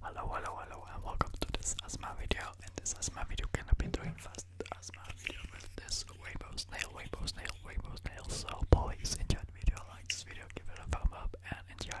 Hello, hello, hello, and welcome to this asthma video. And this asthma video, gonna be doing fast asthma video with this rainbow snail, rainbow snail, rainbow snail. So please enjoy the video, like this video, give it a thumbs up, and enjoy.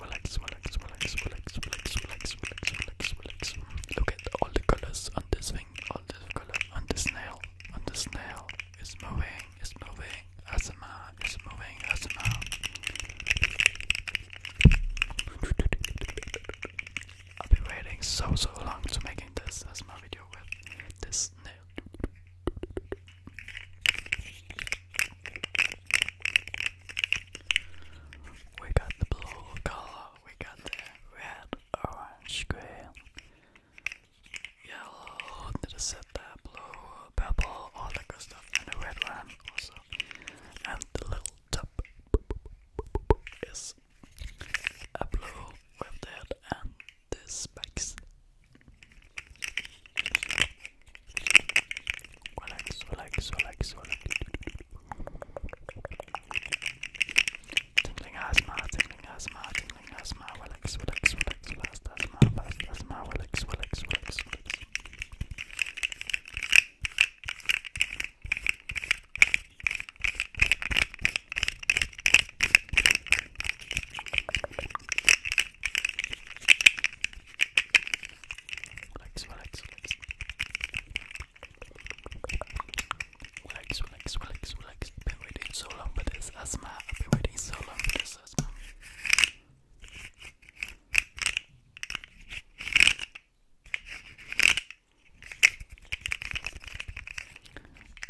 Relax, relax, relax, relax, relax, relax, relax, relax, relax, Look at all the colors on this thing, all the colors on this nail, on this nail. It's moving, it's moving, asthma, it's moving, asthma. I've been waiting so so long to making this as my video with this nail. We got the blue color, we got the red, orange, green, yellow, did I said blue, purple, all that stuff, and the red one also. And the little tap is a blue with the head and the specs. Relax, relax, relax, relax. Tingling asthma, tingling asthma, tingling asthma. Relax, relax, relax, relax, asthma, relax, asthma, relax, Relax, relax, relax. Relax, relax, relax, I've been waiting so long for this asthma. I've been waiting so long for this asthma.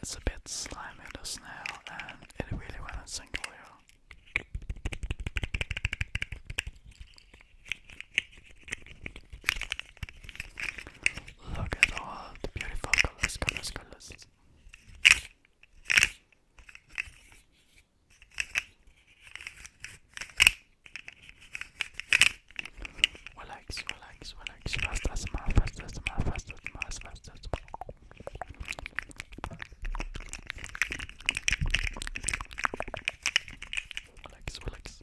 It's a bit slimy the snail and it really went single here. Look at all the beautiful colors, colors, colors. Relax, relax, relax. Fast as mal, fast as mal, fast as mal, fast as mal. Relax, relax.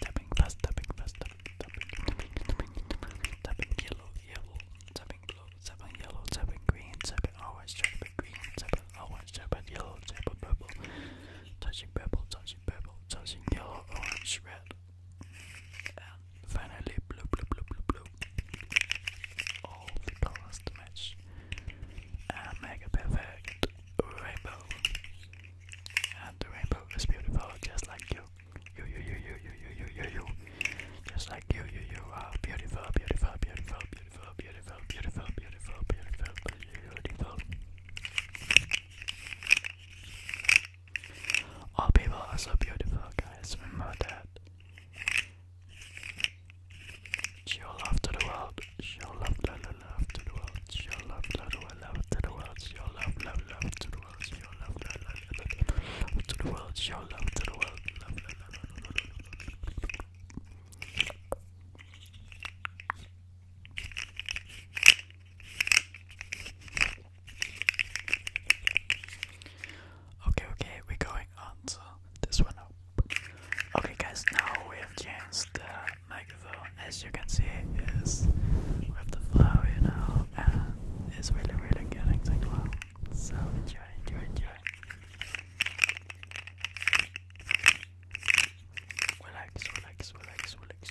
Tapping fast, tapping fast, tapping, tapping, tapping, tapping, tapping yellow, yellow, tapping blue, tapping yellow, tapping green, tapping orange, tapping green, tapping orange, tapping yellow, tapping purple, tapping, purple, tapping, purple, touching yellow, orange, red, and finally blue, blue, blue, blue, blue. All the colors to match. And make perfect rainbow. And the rainbow is beautiful, just like You, you, you, you, you, you, you, you, you. Just like you, you, you are beautiful, beautiful, beautiful, beautiful, beautiful, beautiful, beautiful, beautiful, beautiful. All people are so beautiful, guys. Remember that. Show love to the world. Show love, love, love, love to the world. Show love, love, love, love to the world. Show love, love, love to the world. Show love, love, love, love, love to the world. Show love to the world. Love, love, love, love, love, love. Okay, okay, we're going Okay, guys, now we have changed the microphone. As you can see, is with the flow, you and it's really, really getting things like, So enjoy, enjoy, enjoy. Relax, relax, relax, relax.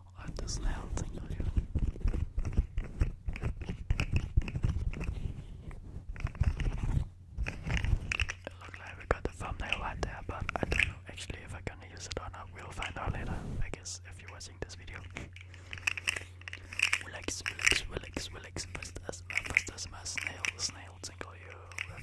of the It looks like we got the thumbnail right there, but I don't know actually if I'm going it or not. We'll find out later, I guess, if you're watching this video. Relax, relax, relax, relax. First asthma, first snail, snail, tingle you. Red,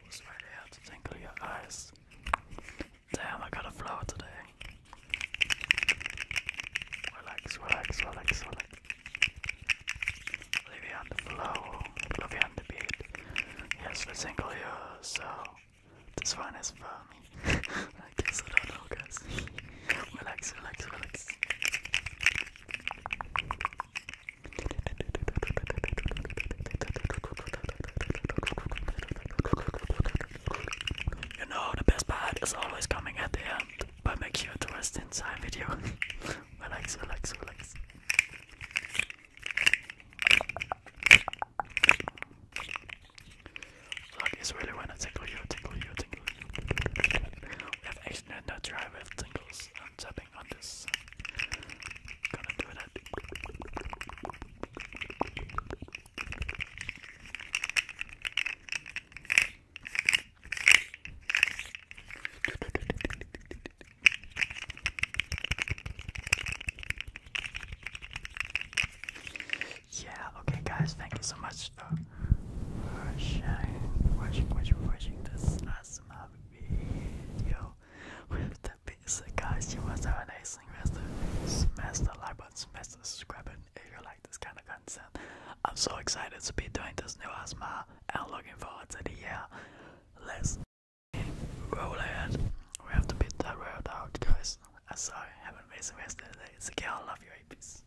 pickles right here to tingle your eyes. Damn, I got a flow today. Relax, relax, relax, relax. Live on the flow, live on the beat. Yes, we single you, so this one is for me. I guess I don't know, relax, relax, relax. You know, the best part is always coming at the end, but make sure to rest inside video. relax, relax, relax. Look, it's really when I tickle you, tickle you, tickle you. We have actually no dry with tingles and yeah, okay guys, thank you so much watching, watching, watching, watching this ASMR awesome video with the pizza guys. You must have an amazing rest Smash the like button, smash the subscribe button if you like this kind of content. I'm so excited to be doing this new ASMR and looking forward to the year. Let's roll ahead. We have to beat that road out, guys. I'm sorry. Have an amazing rest of It's a girl, love you. Peace.